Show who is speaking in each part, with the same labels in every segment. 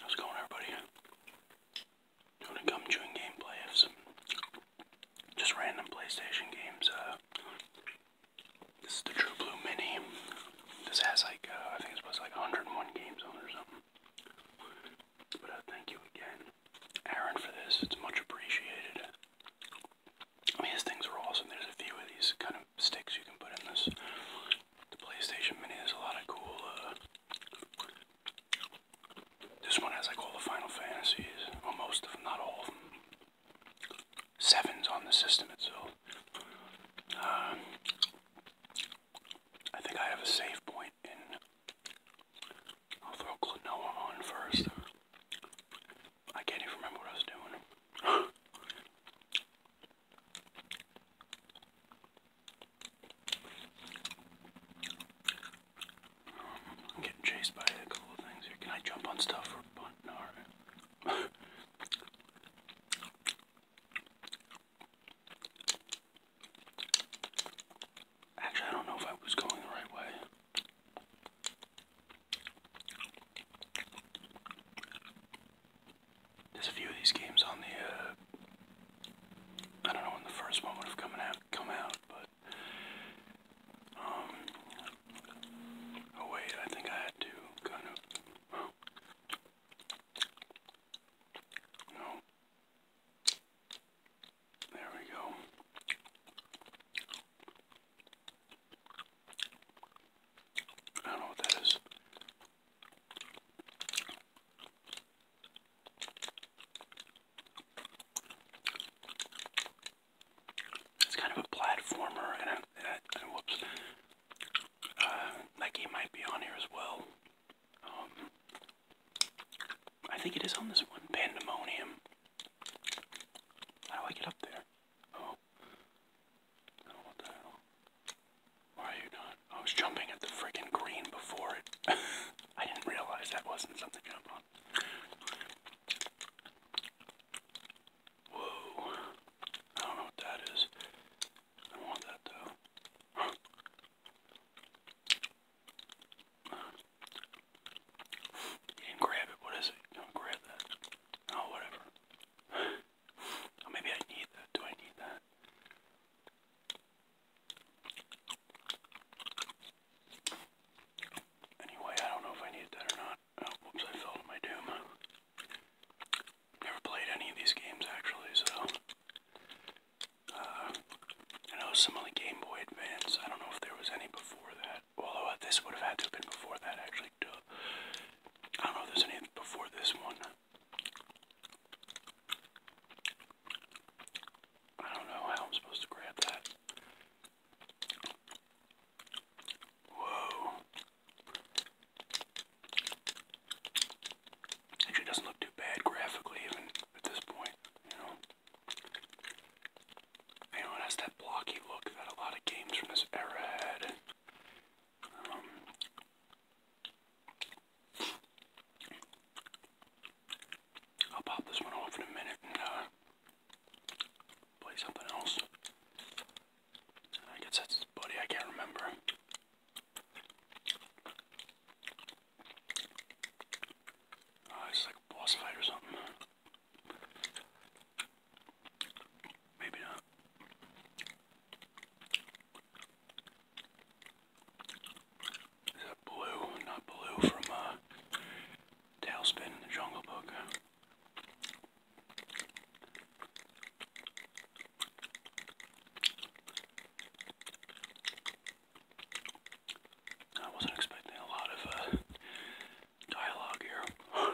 Speaker 1: How's going, everybody? Doing a gum chewing gameplay just random PlayStation games. Uh, this is the True Blue Mini. This has like, uh, I think it's supposed to like 101 games on or something. But uh, thank you again, Aaron, for this. It's much appreciated. I things are awesome. There's a few of these kind of sticks you can put in this. The PlayStation Mini has a lot of cool. Uh, this one has like all the Final Fantasies, or most of them, not all of them. Sevens on the system itself. Uh, I think I have a save point in. I'll throw Klonoa on first. I can't remember what I was doing. I'm getting chased by a couple of things here. Can I jump on stuff or punt? No, Actually, I don't know if I was going the right way. There's a few of these games on the, uh, I don't know when the first one would have out, come out but, um, oh wait, I think I had to kind of, no, there we go. I don't know what that is. It's kind of a platformer, and, whoops, uh, that game might be on here as well. Um, I think it is on this one, Pandemonium. How do I get up there? Oh what the hell? Why are you not? I was jumping at the freaking green before it. I didn't realize that wasn't something to jump Whoa. I don't know what that is. I want that though. Huh. not grab it. What is it? Don't grab that. Oh, whatever. Oh, maybe I need that. Do I need that? Anyway, I don't know if I need that or not. Oh, whoops, I fell my doom. Never played any of these games actually, so. Uh, I know some on the Game Boy Advance. I don't know if there was any before that that. Uh, this would have had to been before that, actually. I don't know if there's any before this one. I don't know how I'm supposed to grab that. Whoa. Actually, doesn't look too bad graphically, even at this point. You know, you know, it has that blocky look that a lot of games from this era had. I'll pop this one off in a minute and uh, play something else. I guess that's buddy, I can't remember. Uh, it's like a boss fight or something. Maybe not. Is that Blue? Not Blue from uh, Tailspin, the Jungle Book. I wasn't expecting a lot of uh, dialogue here.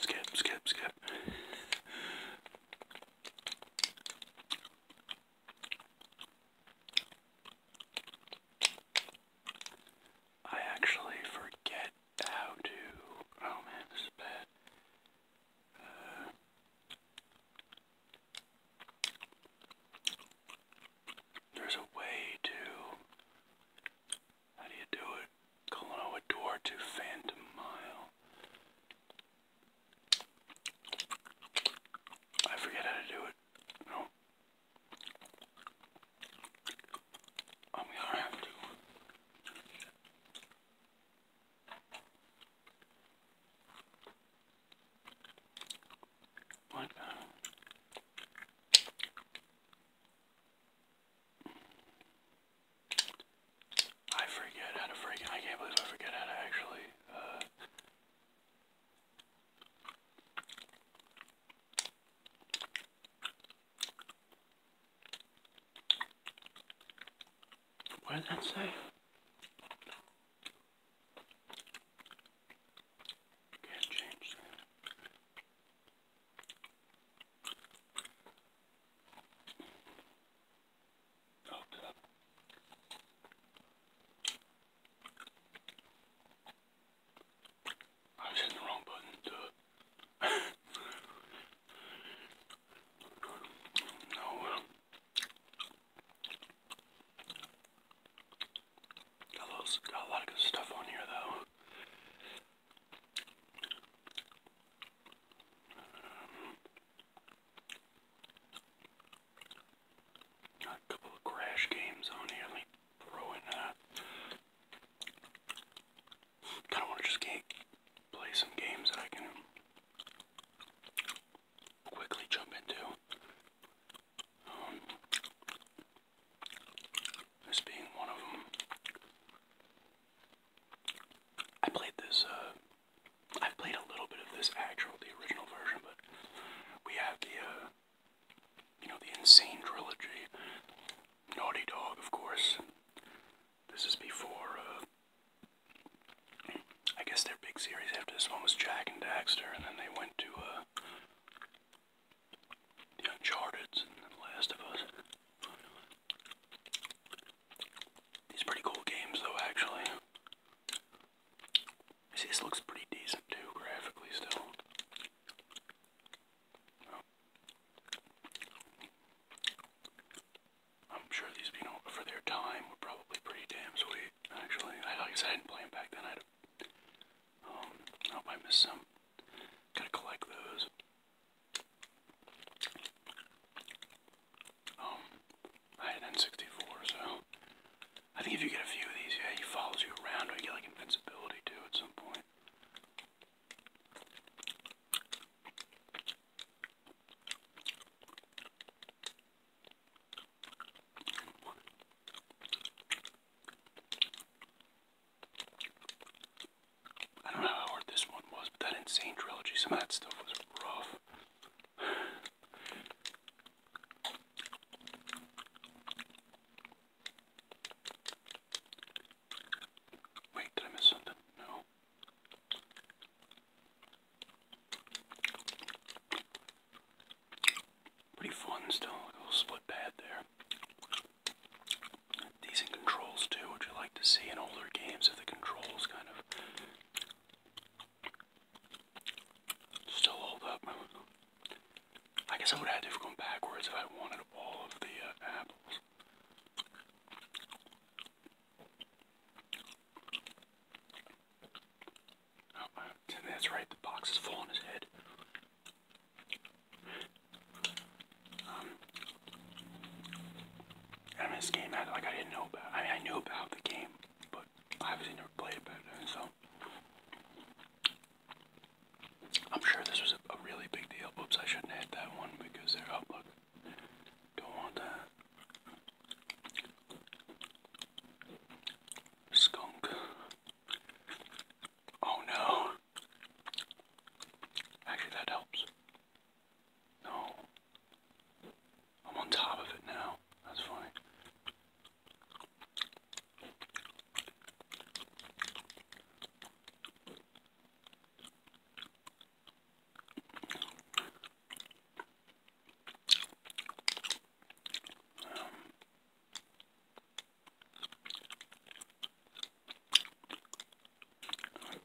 Speaker 1: skip, skip, skip. I actually forget how to. Oh man, this is bad. There's a way to. How do you do it? Colono a door to Phantom Mile. I forget how to do it. No. I'm going have to I forget how to freaking. I can't believe I forget how to actually. Uh, what did that say? Can't change that. Oh, up. I was hitting the wrong button to No. Got, a lot of good stuff on here, though. got a couple of crash games on here. Let me throw in that kind of want to just play some games that I can quickly jump into. Um, this being one of them. I played this, uh, I've played a little bit of this actual, the original version, but we have the, uh, you know, the Insane Trilogy. Naughty Dog, of course, this is before, uh, I guess their big series after this one was Jack and Daxter, and then they went to, uh, The Uncharted and The Last of Us. These pretty cool games, though, actually. See, this looks pretty decent, too, graphically, still. I'm sure these, you know, for their time were probably pretty damn sweet, actually. I, like I said, I didn't play them back then. I'd have, um, I hope I missed some. Gotta collect those. Um, I had an N64, so I think if you get a few of these, yeah, he follows you around, or you get like invincibility too at some point. I don't know how hard this one was, but that insane trilogy, some of that stuff was rough. Wait, did I miss something? No. Pretty fun still, little split pad there. Decent controls too, which I like to see in older games if the controls kind of still hold up. I guess I would have to go backwards if I wanted all of the uh, apples. Oh, that's right, the box is full on his head. Um, I mean, this game, I, like, I didn't know about I mean, I knew about the game, but I obviously never played it so. I'm sure this was a, really big deal. Oops, I shouldn't add that one because they're up. Oh, look, don't want that. Skunk. Oh no. Actually, that helps. No. I'm on top of it now. That's funny.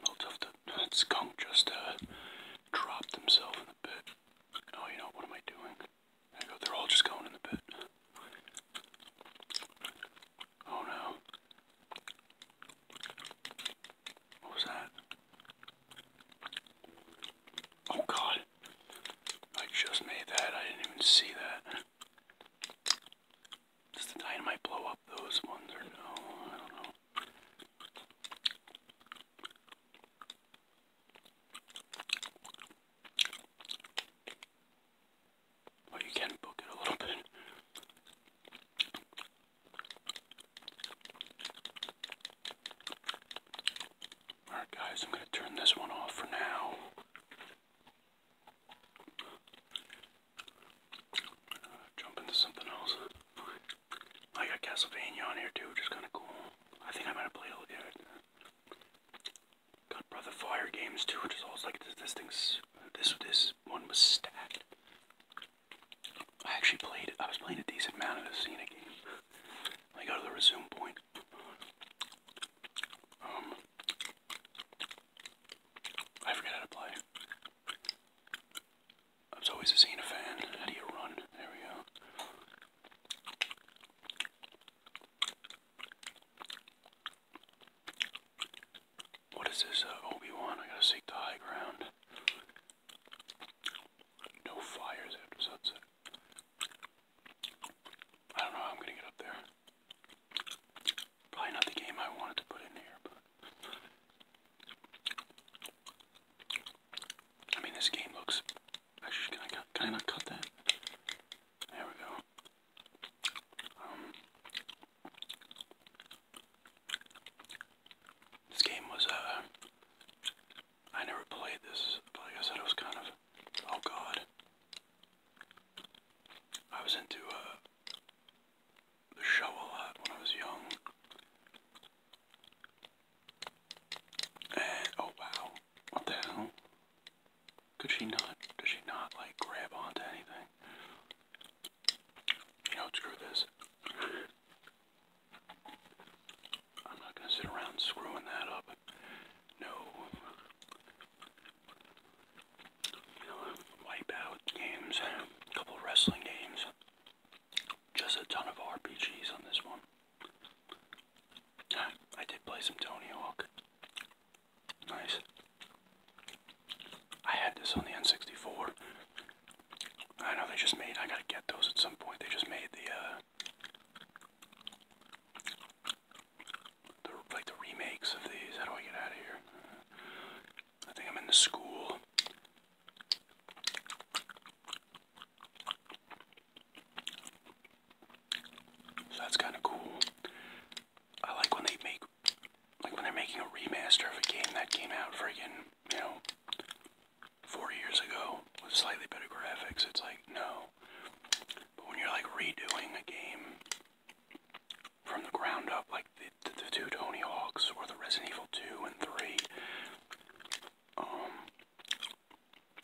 Speaker 1: We'll have to, just dropped himself in the pit. Oh, you know, what am I doing? There go, they're all just going in the pit. Oh no. What was that? Oh god. I just made that. I didn't even see that. Does the dynamite blow up those ones or no? I don't know or you can book it a little bit. Alright, guys, I'm going to turn this one off for now. Uh, jump into something else. I got Castlevania on here too, which is kind of cool. I think I might have played it. Got Brother Fire games too, which is always like this, this thing's, this, this one was stacked. I actually played, I was playing a decent amount of the Cena game. I go to the resume point. Um, I forget how to play. I was always a Cena fan. How do you run? There we go. What is this, uh, Obi-Wan? I gotta seek the high ground. No fires after sunset. I don't know how I'm gonna get up there. Probably not the game I wanted to put in here, but... I mean, this game looks... Actually, can I, can I not cut that? There we go. Um, this game was, uh, I never played this, but like I said, it was kind of, oh god. I was into, uh, the show a lot when I was young. And, oh wow, what the hell? Could she not? Does she not like grab onto anything? You know, screw this. I'm not gonna sit around screwing that up. No. You know, wipe games, a couple wrestling games, just a ton of RPGs on this one. I did play some Tony Hawk. Nice. I had this on the N64. I know they just made, I gotta get those at some point. They just made the, uh, the like the remakes of these. How do I get out of here? I think I'm in the school. So that's kind of cool. I like when they make, like when they're making a remaster of a game that came out friggin', you know, four years ago with slightly better graphics. It's like, no. But when you're like redoing a game from the ground up, like the, the, two Tony Hawks or the Resident Evil 2 and 3, um,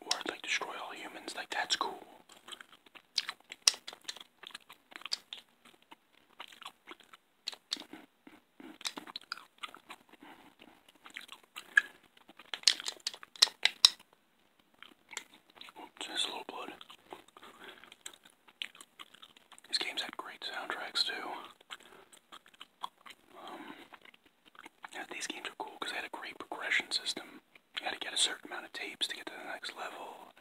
Speaker 1: or like destroy all humans. Like that's cool. Oops, a little blood. These games had great soundtracks too. Um, these games are cool because they had a great progression system. You gotta get a certain amount of tapes to get to the next level.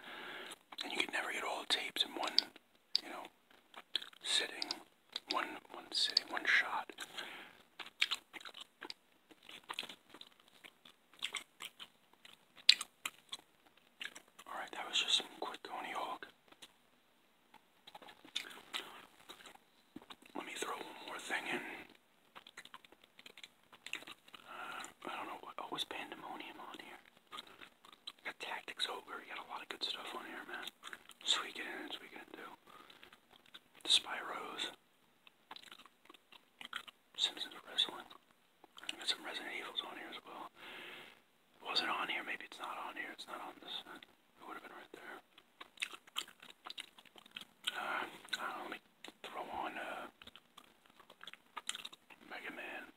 Speaker 1: And you can never get all the tapes in one, you know, sitting. One one sitting, one shot. Alright, that was just some quick Coney Hawk. Let me throw one more thing in. I don't know what. Always oh, pandemonium on here. Got Tactics Ogre. You got a lot of good stuff on here, man. Sweet it in, sweet it too. The Spyros. Simpsons Wrestling. I got some Resident Evils on here as well. Wasn't on here. Maybe it's not on here. It's not on this. It would have been right there. Uh, let me throw on uh, Mega Man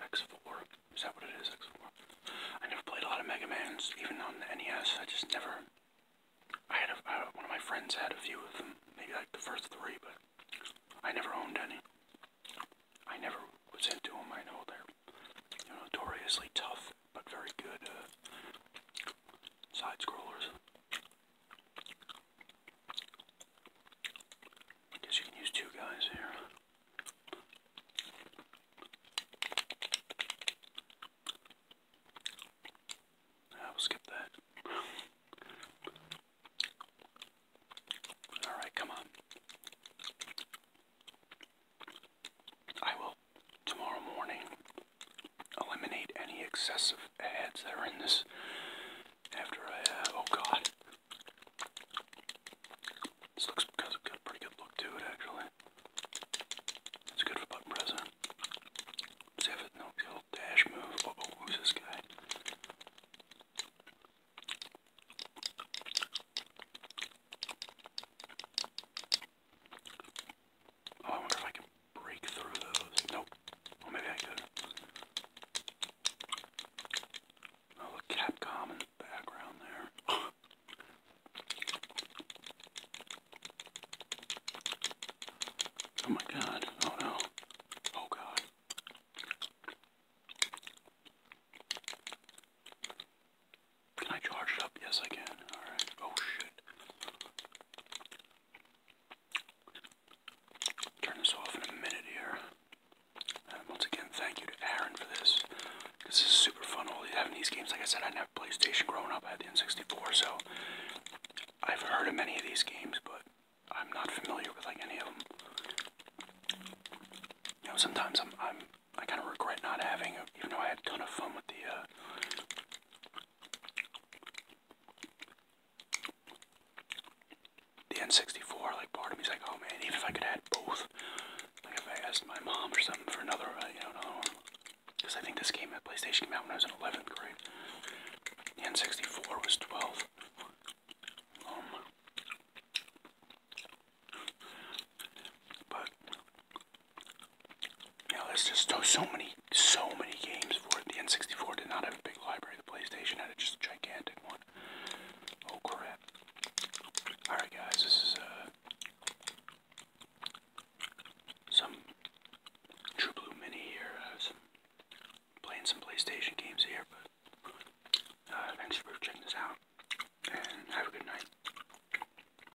Speaker 1: X4. Is that what it is? X4. I never played a lot of Mega Mans, even on the NES. I just never. I had a, I, one of my friends had a few of them, maybe like the first three, but I never owned any. I never was into them. I know they're notoriously tough, but very good uh, side scrollers. I use two guys here. I will skip that. Alright, come on. I will tomorrow morning. Eliminate any excessive ads that are in this after I, uh, oh god. This looks got a pretty good look to it actually. It's good for button pressing. no, little dash move. who's this guy? Oh, I wonder if I can break through those. Nope. Well, maybe I could. Oh, look, Capcom in the background there. oh my god. Oh no. Oh god. Can I charge up? Yes, I can. Alright. Oh shit. Turn this off in a minute here. Uh, once again, thank you to Aaron for this. This is super fun. All having these games, like I said, I didn't have PlayStation growing up. I had the N64, so I've heard of many of these games, but I'm not familiar with like any of them. You know, sometimes I'm, I'm I kind of regret not having, even though I had a ton of fun with the uh, the N64, like part of me's like, oh man, even if I could add both, like if I asked my mom or something for another, you know, no, because I think this game at PlayStation came out when I was in 11th grade. The N64 was 12. Um, but now there's just so many, so many games for it. The N64 did not have a big library. The PlayStation had a just a gigantic one. Oh crap! All right, guys, this is uh, some True Blue Mini here. Uh, some playing some PlayStation games here, but uh, thanks for check this out, and have a good night.